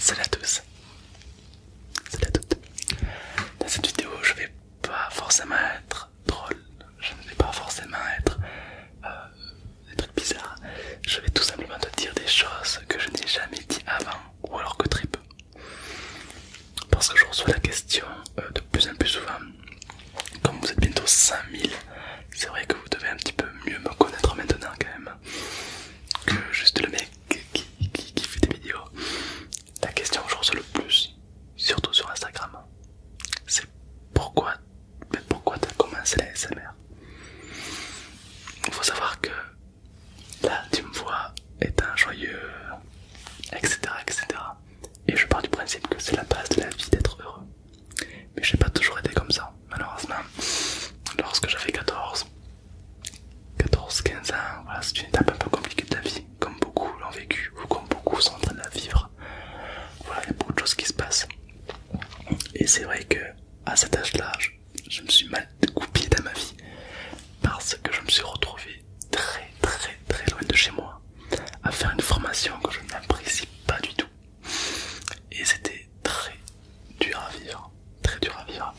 Salut à tous, salut à toutes, Dans cette vidéo, je vais pas forcément être drôle. Je ne vais pas forcément être euh, des trucs bizarres. Je vais tout simplement te dire des choses que je n'ai jamais dit avant ou alors que très peu parce que je reçois la question euh, de plus en plus souvent. Comme vous êtes bientôt 100 000, c'est vrai que vous devez un petit peu mieux me connaître maintenant quand même que juste le mec qui, fait des vidéos. La question que je reçois le plus, surtout sur Instagram, c'est pourquoi, pourquoi t'as commencé l'ASMR Il faut savoir que là tu me vois étant joyeux, etc. etc. Et je pars du principe que c'est la base de la vie d'être heureux. Mais j'ai pas toujours été comme ça, malheureusement. Lorsque j'avais 14, 14-15 ans, voilà, c'est une étape un peu compliquée de la vie, comme beaucoup l'ont vécu ou comme beaucoup sont en train de la vivre. Voilà, il y a beaucoup de choses qui se passent. Et c'est vrai que à cet âge-là, je, me suis mal coupé dans ma vie parce que je me suis retrouvé très très très loin de chez moi à faire une formation que je n'apprécie pas du tout. Et c'était très dur à vivre, très dur à vivre.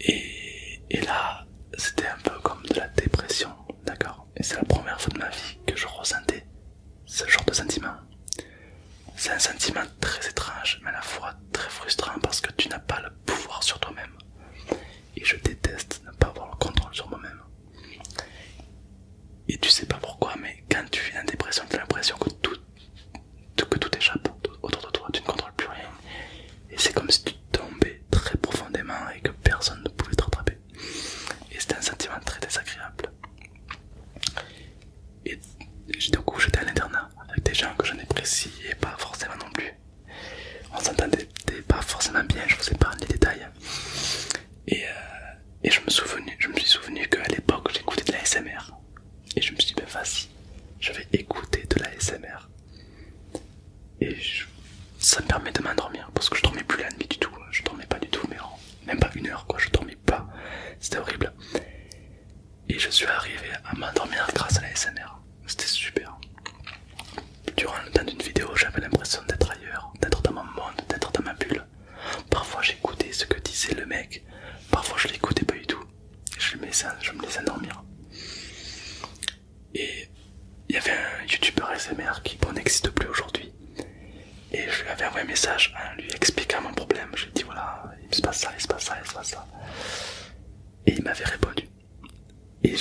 Et, et là, c'était un peu comme de la dépression, d'accord Et c'est la première fois de ma vie que je ressentais ce genre de sentiment. C'est un sentiment très étrange, mais à la fois très frustrant parce que tu n'as pas le pouvoir sur toi-même et je déteste ne pas avoir le contrôle sur moi-même. Et tu sais pas pourquoi, mais quand tu fais en dépression, tu as l'impression que tout, que tout échappe autour de toi, tu ne contrôles plus rien. Et c'est comme si tu tombais très profondément et que personne ne pouvait te rattraper. Et c'est un sentiment très désagréable. Et du coup, j'étais à l'internat avec des gens que je n'appréciais pas forcément non plus on s'entendait pas forcément bien, je vous ai parlé des détails. Euh, et, je, me je me suis souvenu qu'à l'époque j'écoutais de la SMR. Et je me suis dit, ben vas-y, je vais écouter de la SMR. Et ça me permet de m'endormir parce que je dormais plus la nuit du tout. Je dormais pas du tout, même pas une heure quoi, je dormais pas. C'était horrible. Et je suis arrivé à m'endormir grâce à la SMR c'était super. Durant le temps d'une vidéo, j'avais l'impression d'être ailleurs, d'être dans mon monde, d'être dans ma bulle. Parfois j'écoutais ce que disait le mec, parfois je l'écoutais pas du tout. Je me laissais, je me dormir. Et il y avait un youtubeur SMR qui n'existe plus aujourd'hui. Et je lui avais envoyé un message en lui expliquant mon problème. Je lui ai dit voilà, il se passe ça, il se passe ça, il se passe ça. Et il m'avait répondu. Et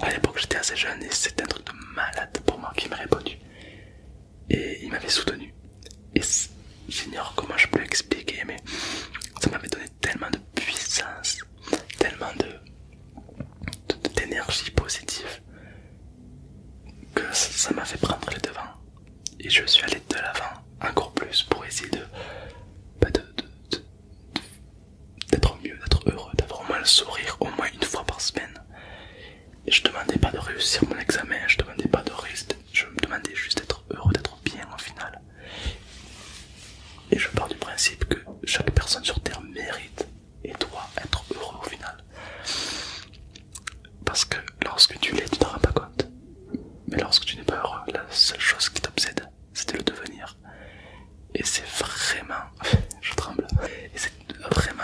à l'époque j'étais assez jeune et c'était un truc de malade pour moi qui m'a répondu. Et il m'avait soutenu. Et j'ignore comment je peux l'expliquer, mais ça m'avait donné tellement de puissance, tellement de d'énergie positive que ça m'a fait prendre les devants. Et je suis allé de l'avant encore plus pour essayer de bah, d'être mieux, d'être heureux, d'avoir au moins le sourire au moins une fois par semaine. je ne demandais pas de réussir mon examen, je ne demandais pas de risque, je me demandais juste d'être heureux, d'être bien au final. Et je pars du principe que chaque personne sur Terre mérite et doit être heureux au final. Parce que lorsque tu l'es, tu t'en rends pas compte. Mais lorsque tu n'es pas heureux, la seule chose qui t'obsède, c'est le devenir. Et c'est vraiment... je tremble. Et c'est vraiment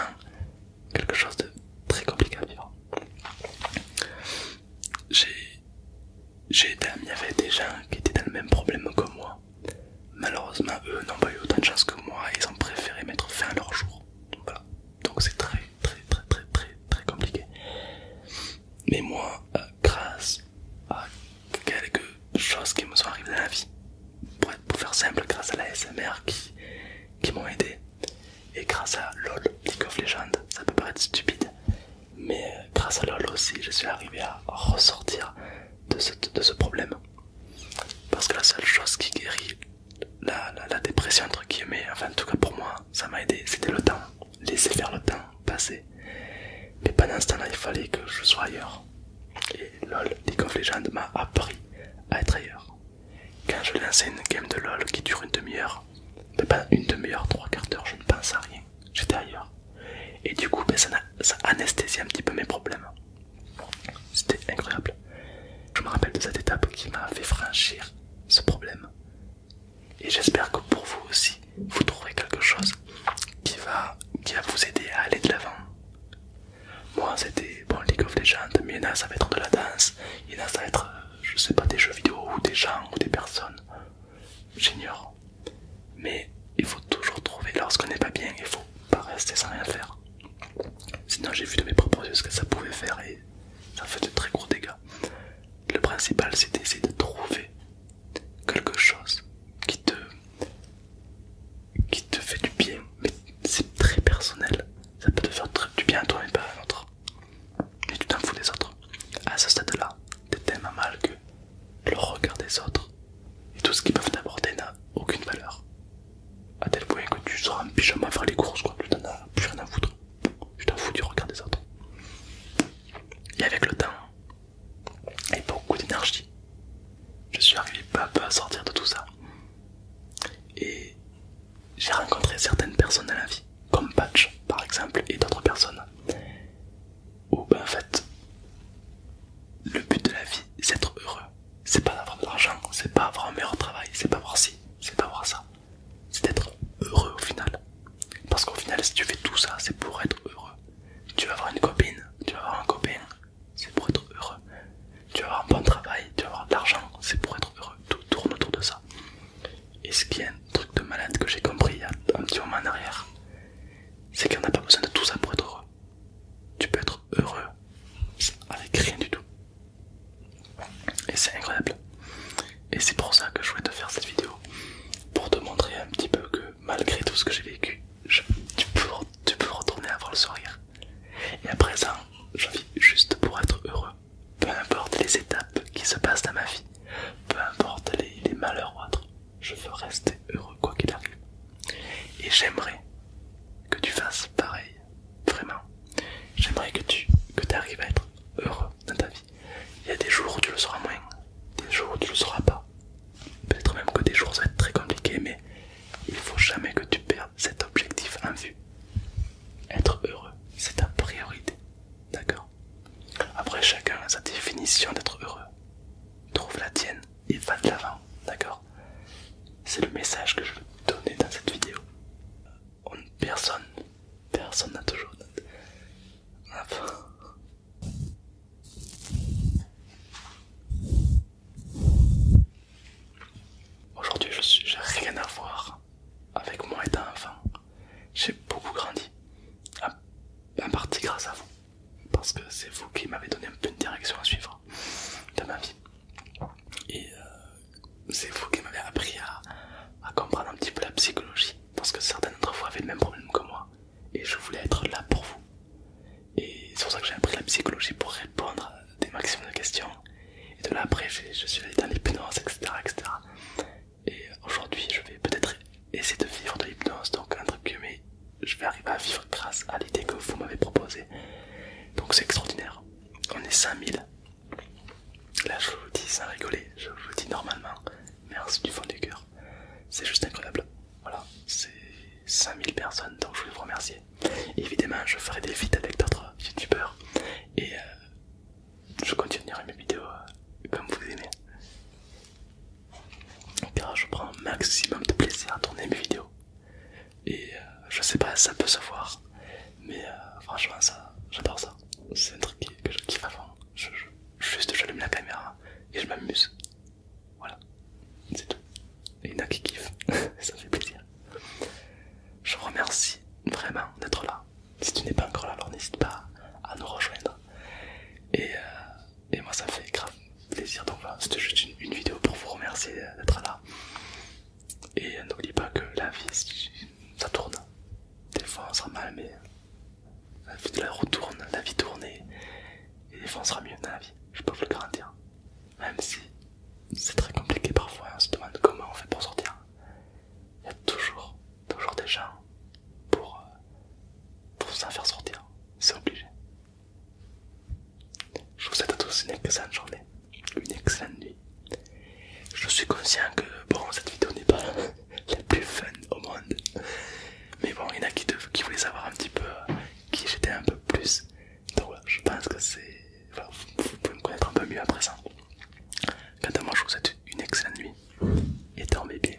quelque chose de très compliqué à vivre. J'ai il y avait des gens qui étaient dans le même problème que moi. Malheureusement, eux n'ont pas eu autant de chance que moi ils ont préféré mettre fin à leur jour. Donc c'est très très très très très très compliqué. Mais moi, euh, grâce à quelques choses qui me sont arrivées dans la vie, pour, pour faire simple, grâce à la SMR qui, qui m'ont aidé, et grâce à LOL, League of Legends, ça peut paraître stupide, mais euh, grâce à LOL aussi, je suis arrivé à ressortir de ce, de ce problème. Parce que la seule chose qui guérit la, la, la dépression, entre guillemets, enfin en tout cas pour moi, ça m'a aidé, c'était le temps laisser faire le temps passer. Mais pendant ce temps-là, il fallait que je sois ailleurs. Et LOL, League of Legends m'a appris à être ailleurs. Quand je lançais une game de LOL qui dure une demi-heure, mais pas une demi-heure, trois quarts d'heure, je ne pense à rien. J'étais ailleurs. Et du coup, ben, ça, ça anesthésie un petit peu mes problèmes. C'était incroyable. Je me rappelle de cette étape qui m'a fait franchir ce problème. Et j'espère que pour vous aussi, vous trouverez quelque chose qui va, vous aider à aller de l'avant. Moi, c'était bon, League of Legends, mais il y en a, ça va être de la danse, il y en a, ça va être, euh, je sais pas, des jeux vidéo ou des gens ou des personnes. J'ignore. Mais il faut toujours trouver lorsqu'on n'est pas bien, il faut pas rester sans rien faire. Sinon, j'ai vu de mes propres yeux ce que ça pouvait faire et ça fait de très gros dégâts. Le principal, c'est d'essayer de trouver quelque chose qui te, fait du bien, mais c'est très personnel. Ça peut te faire du bien à toi, mais pas à l'autre. Et tu t'en fous des autres. À ce stade-là, t'es tellement mal que le regard des autres et tout ce qu'ils peuvent t'apporter n'a aucune valeur. À tel point que tu seras un pyjama faire les courses, quoi, tu plus rien à foutre. Je t'en fous du regard des autres. Et avec le temps et beaucoup d'énergie, je suis arrivé peu à peu à sortir de tout ça. Et j'ai rencontré certaines personnes dans la vie, comme Patch par exemple, et d'autres personnes, où ben, en fait, le but de la vie, c'est d'être heureux. C'est pas d'avoir de l'argent, c'est pas avoir un meilleur travail, c'est pas voir ci, c'est pas avoir ça c'est d'être heureux au final. Parce qu'au final, si tu fais tout ça, c'est pour être heureux. Tu vas avoir une copine, tu vas avoir un copain, c'est pour être heureux. Tu vas avoir un bon travail, tu vas avoir de l'argent, c'est pour être heureux. Tout tourne autour de ça. Et ce qui est un truc de malade que j'ai compris il y a un petit moment en arrière, c'est qu'on n'a pas besoin de tout ça pour être heureux. Tu peux être heureux avec rien du tout. Et c'est incroyable. Et c'est pour ça que je voulais te faire cette vidéo. Pour te montrer un petit peu que malgré tout ce que j'ai vécu, tu, peux, retourner avoir le sourire. Et à présent, je vis juste pour être heureux. Peu importe les étapes qui se passent dans ma vie, peu importe les, les malheurs ou autres, je veux rester heureux quoi qu'il arrive. Et j'aimerais que tu fasses pareil Vraiment, j'aimerais que tu que arrives à être heureux dans ta vie. Il y a des jours où tu le seras moins, des jours où tu le seras pas. Peut-être même que des jours ça être très compliqué, mais il ne faut jamais que tu perdes cet objectif en vue. Être heureux, c'est ta priorité. D'accord Après, chacun a sa définition d'être heureux. Trouve la tienne et va de l'avant. D'accord c'est le message que je veux donner dans cette vidéo. personne, personne n'a toujours. Aujourd'hui, je n'ai rien à voir avec moi étant enfant. J'ai beaucoup grandi, en partie grâce à vous, parce que c'est vous qui m'avez donné un peu une direction à suivre dans ma vie. Et euh, c'est vous qui m'avez appris à, comprendre un petit peu la psychologie, parce que certains d'entre vous avaient le même problème que moi, et je voulais être là pour vous. Et c'est pour ça que j'ai appris la psychologie pour répondre à des maximums de questions. Et de là après, je suis allé dans l'hypnose, etc., etc. Et aujourd'hui, je vais peut-être essayer de vivre de l'hypnose, donc un entre mais je vais arriver à vivre grâce à l'idée que vous m'avez proposée. Donc c'est extraordinaire. On est 5000. Là je vous dis sans rigoler, je vous dis normalement, merci du fond du cœur. C'est juste incroyable. Voilà, c'est 5000 personnes, donc je voulais vous remercier. Évidemment, je ferai des vides avec d'autres youtubeurs et euh, je continuerai mes vidéos euh, comme vous aimez. Car je prends un maximum de plaisir à tourner mes vidéos. Et euh, je sais pas, ça peut se voir, mais euh, franchement, ça, j'adore ça. C'est un truc que je kiffe avant. juste, j'allume la caméra et je m'amuse. Voilà, c'est tout. Et il y en a qui kiffent, ça fait plaisir. Je remercie vraiment d'être là. Si tu n'es pas encore là, alors n'hésite pas à nous rejoindre. Et euh, et moi ça me fait grave plaisir. Donc voilà, c'était juste une, vidéo pour vous remercier d'être là. Et n'oubliez pas que la vie, ça tourne, des fois on sera mal, mais la vie la retourne tourne, la vie tourne et, des fois on sera mieux dans la vie. Je peux vous le garantir. Même si c'est très compliqué parfois, on se demande comment on fait pour sortir. Il y a toujours, toujours des gens pour, pour en faire sortir. C'est obligé. Je vous souhaite à tous une excellente journée, une excellente nuit. Je suis conscient que bon, cette vidéo n'est pas la plus fun au monde, mais bon, il y en a qui, voulaient savoir un petit peu euh, qui j'étais un peu plus. Donc voilà, je pense que c'est. pouvez me connaître un peu mieux à présent. Quant à moi, je vous souhaite une excellente nuit et dormez bien.